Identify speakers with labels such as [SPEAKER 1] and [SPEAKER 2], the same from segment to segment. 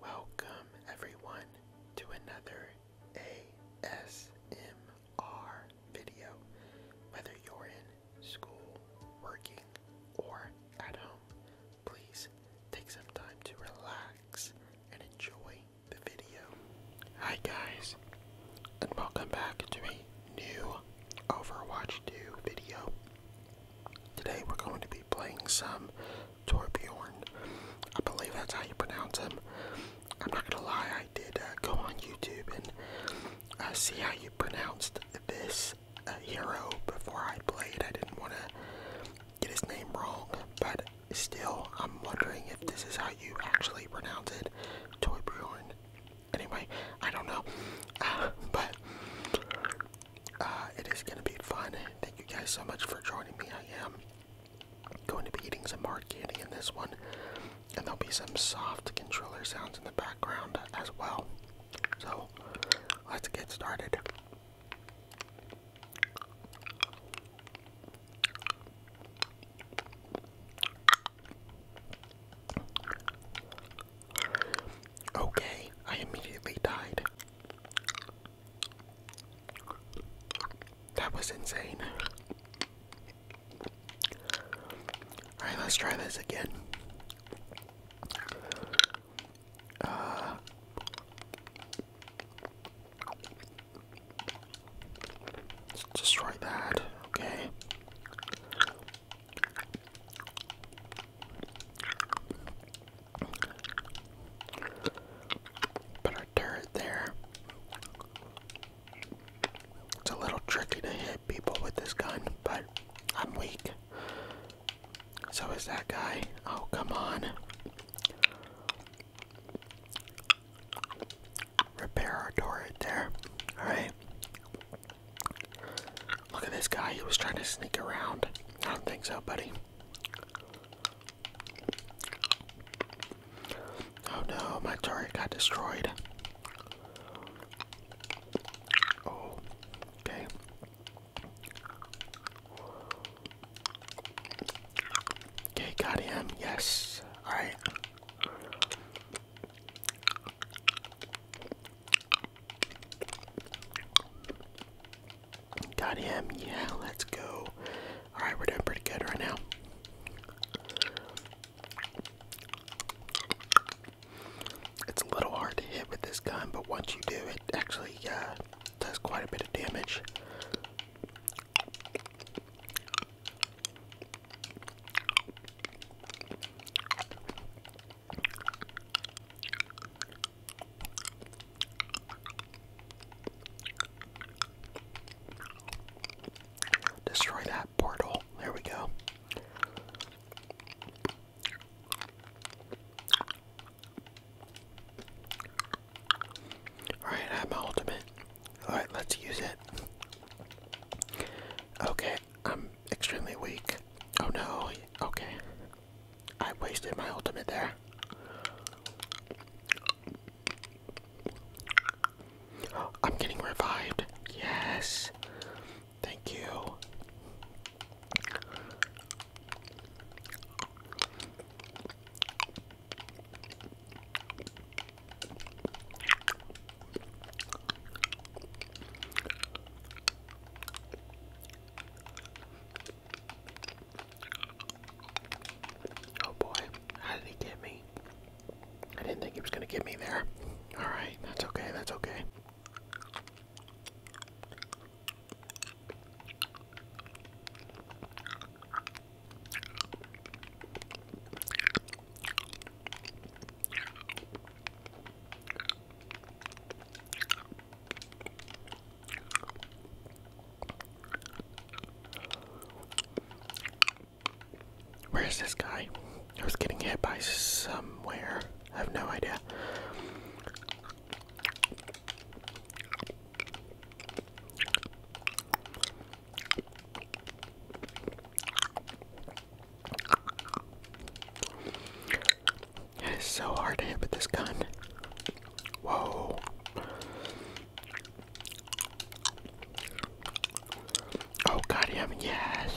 [SPEAKER 1] Welcome, everyone, to another ASMR video. Whether you're in school, working, or at home, please take some time to relax and enjoy the video. Hi, guys, and welcome back to a new Overwatch 2 video. Today, we're going to be playing some Torbjorn. I believe that's how you pronounce him. I'm not gonna lie, I did uh, go on YouTube and uh, see how you pronounced this uh, hero before I played. I didn't want to get his name wrong, but still, I'm wondering if this is how you actually pronounce it, Torbjorn. Anyway, I don't know, but uh, it is going to be fun. Thank you guys so much for joining me. I am going to be eating some hard candy in this one, and there'll be some soft controller sounds in the background as well. So let's get started. Okay, I immediately died. That was insane. Alright, let's try this again. Uh, let that. Okay. Put our turret there. It's a little tricky to hit people with this gun, but I'm weak. So is that guy. Oh, come on. Repair our turret there. Alright. Look at this guy. He was trying to sneak around. I don't think so, buddy. Oh no, my turret got destroyed. Oh, okay. Okay, got him. Yes. All right. Got him. Yeah, let's go. Alright, we're doing pretty good right now. It's a little hard to hit with this gun, but once you do, it actually uh, does quite a bit of damage. Destroy that portal. There we go. Alright, I have my ultimate. Alright, let's use it. Okay, I'm extremely weak. Oh no, okay. I wasted my ultimate there. I'm getting revived. Yes. Thank you. Oh boy, how did he get me? I didn't think he was gonna get me there. Alright, that's okay, that's okay. Where is this guy? I was getting hit by somewhere. I have no idea. It's so hard to hit with this gun. Whoa. Oh, got yes.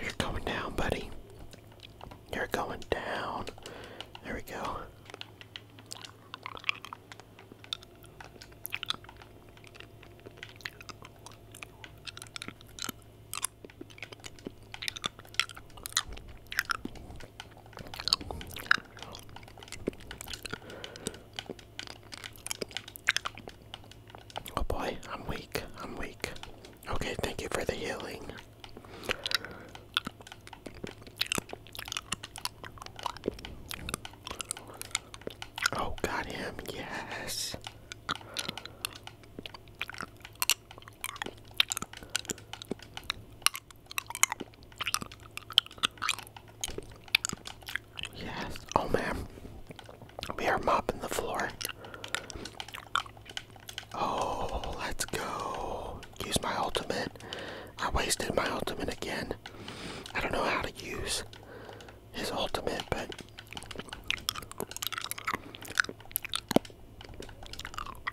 [SPEAKER 1] You're coming down, buddy. You're going down. There we go. Oh boy, I'm weak. I'm weak. Okay, thank you for the healing. Oh, got Yes. Yes. Oh man. We are mopping the floor. Oh, let's go. Use my ultimate. I wasted my ultimate again. I don't know how to use his ultimate, but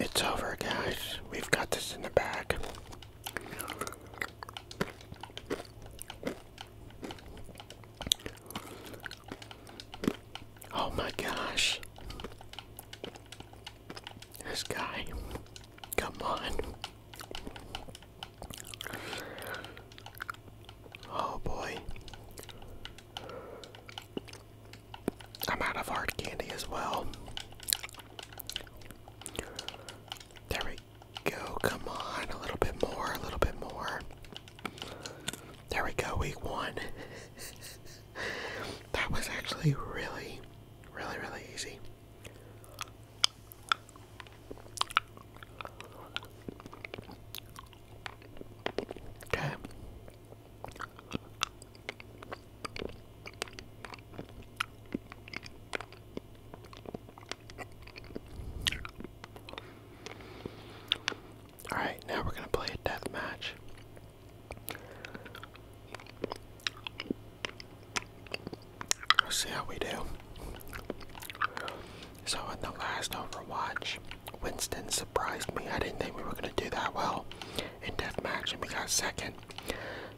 [SPEAKER 1] It's over, guys. We've got this in the bag. Oh my gosh. This guy. Come on. Oh boy. I'm out of hard candy as well. There we go. Come on. A little bit more. A little bit more. There we go. Week one. that was actually really, really, really easy. Okay. All right, now we're gonna play a death match. Let's see how we do. So in the last Overwatch, Winston surprised me. I didn't think we were gonna do that well in deathmatch, and we got second.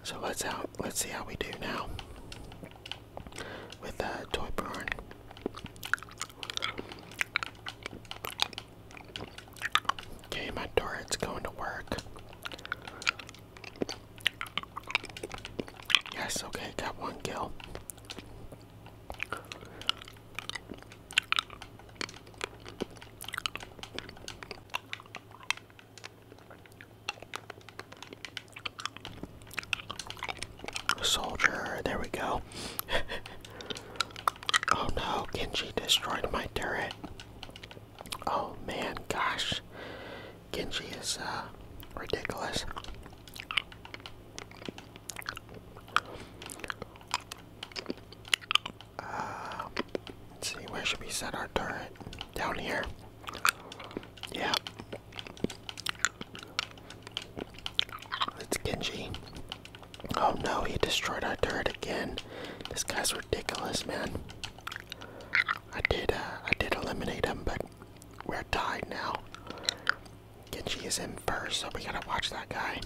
[SPEAKER 1] So let's out. Let's see how we do now with uh, Toy Barn. Okay, my turret's going to work. Yes, okay, got one kill. Soldier, there we go. oh no, Genji destroyed my turret. Oh man, gosh. Genji is uh, ridiculous. Uh, let's see, where should we set our turret? Down here. Yeah. It's Genji. Oh no, he destroyed our turret again. This guy's ridiculous, man. I did, uh, I did eliminate him, but we're tied now. Genji is in first, so we gotta watch that guy.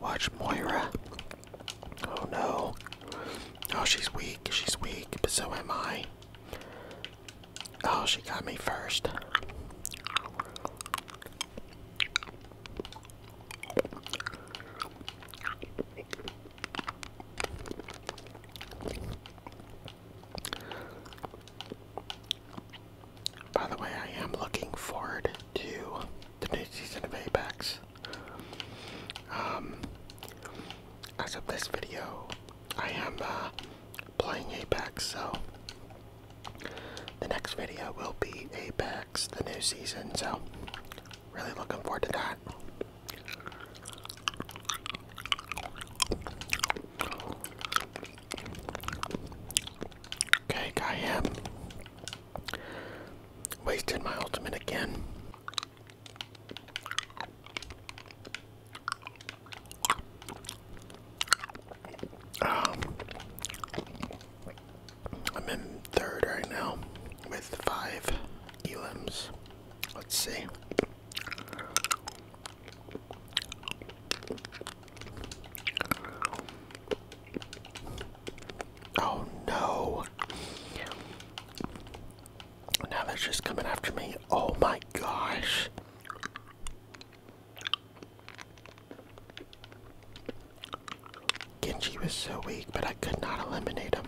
[SPEAKER 1] Watch Moira. Oh no. Oh, she's weak. She's weak, but so am I. Oh, she got me first. By the way, I am looking forward to the new season of Apex. Um, as of this video, I am uh, playing Apex, so the next video will be Apex, the new season, so really looking forward to that. Okay, I am wasted my ultimate again. Um, I'm in third right now with five elims. Let's see. Oh no. Now they're just coming after me. Oh my gosh. Genji was so weak, but I could not eliminate him.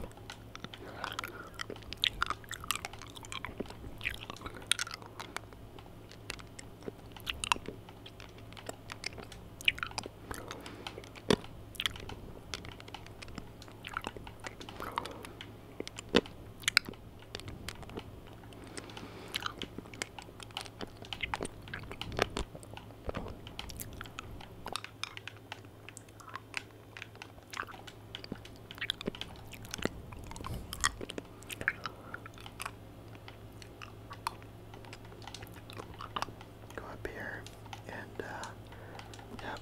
[SPEAKER 1] Go up here and uh, yep.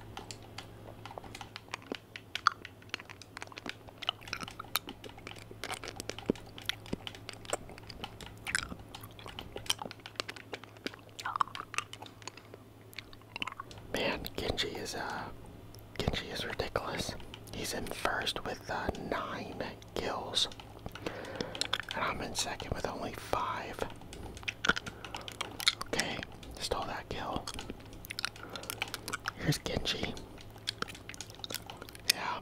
[SPEAKER 1] Man, Genji is uh Genji is ridiculous. He's in first with uh, nine kills. And I'm in second with only five. Okay, stole that kill. Here's Genji. Yeah.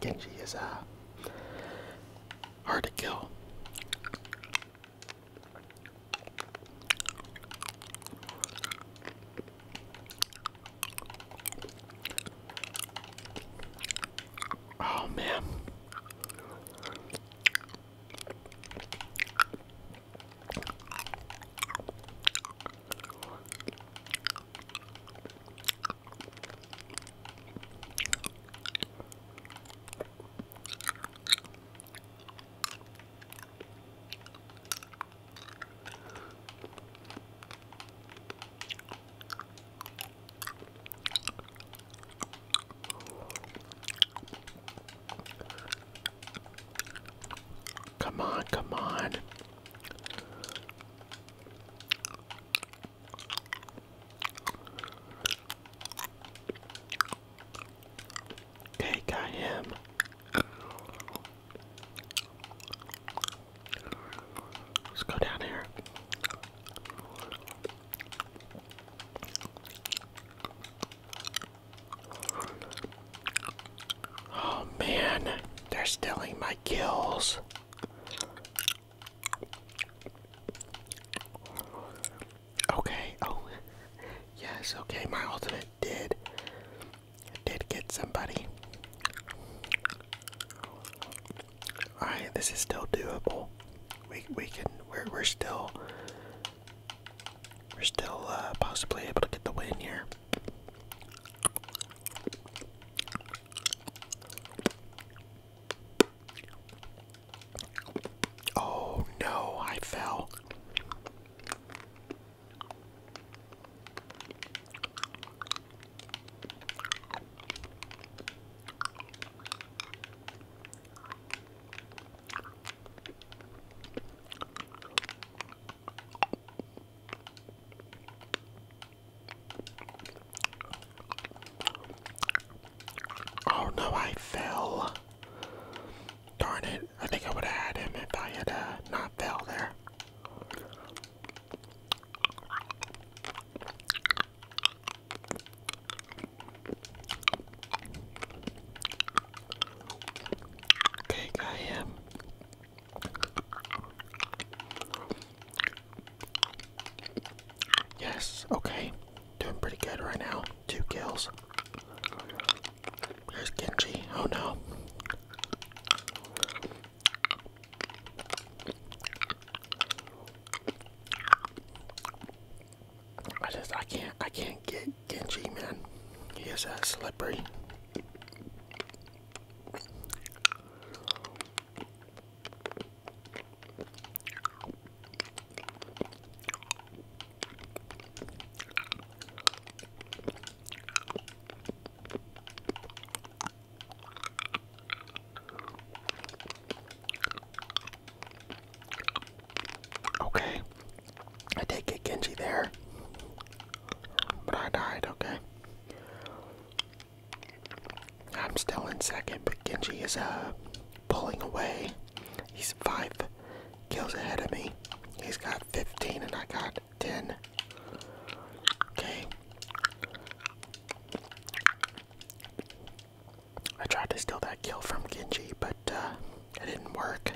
[SPEAKER 1] Genji is a uh, hard to kill. Oh man. Come on, come on. Okay, got him. Let's go down here. Oh man, they're stealing my kills. Okay, oh yes, okay, my ultimate did did get somebody. Alright, this is still doable. We we can we're we're still we're still uh, possibly able to get the win here. Oh no, I fell. Oh no, I fell. Darn it. I think I would have had him if I had uh, not fell there. Okay, I am. Yes, okay. Doing pretty good right now. Two kills. There's Genji. Oh no. I just I can't I can't get Genji, man. He is a Okay, I did get Genji there. But I died, okay? I'm still in second, but Genji is uh, pulling away. He's five kills ahead of me. He's got 15 and I got 10. Okay. I tried to steal that kill from Genji, but uh, it didn't work.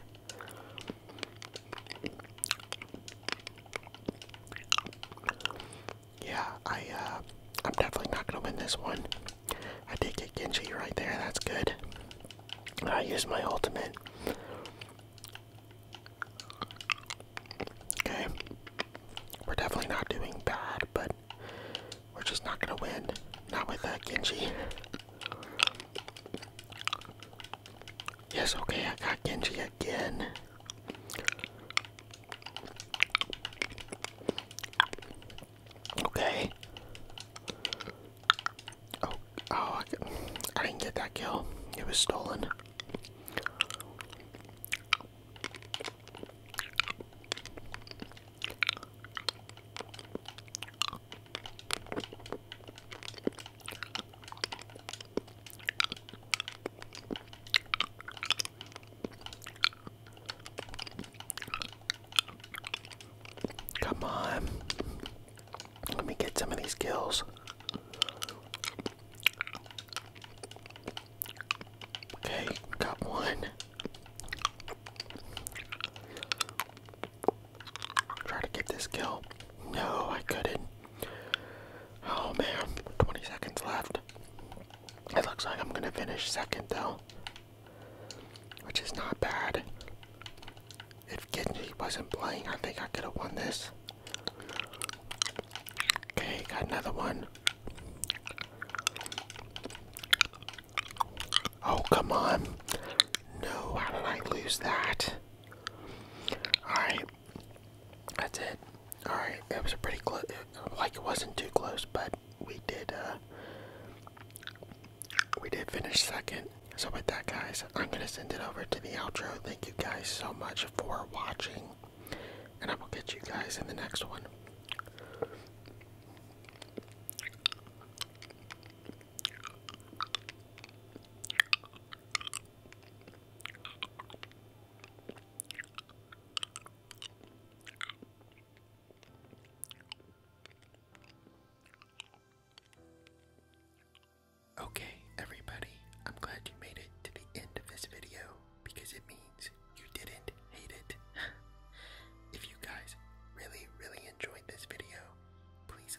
[SPEAKER 1] Yeah, I uh, I'm definitely not gonna win this one. I did get Genji right there, that's good. I used my ultimate. Okay. We're definitely not doing bad, but we're just not gonna win. Not with that uh, Genji. Yes, okay, I got Genji again. Okay. Oh, oh I didn't get that kill. It was stolen. Come on. Let me get some of these kills. Okay, got one. Try to get this kill. No, I couldn't. Oh man, 20 seconds left. It looks like I'm gonna finish second though, which is not bad. If Genji wasn't playing, I think I could have won this. Okay, got another one. Oh, come on. No, how did I lose that? Alright. That's it. Alright, it was a pretty close, like it wasn't too close, but we did, uh, we did finish second. So with that guys, I'm gonna send it over to the outro. Thank you guys so much for watching. And I will catch you guys in the next one. Okay, everybody, I'm glad you made it to the end of this video because it means you didn't hate it. if you guys really, really enjoyed this video, please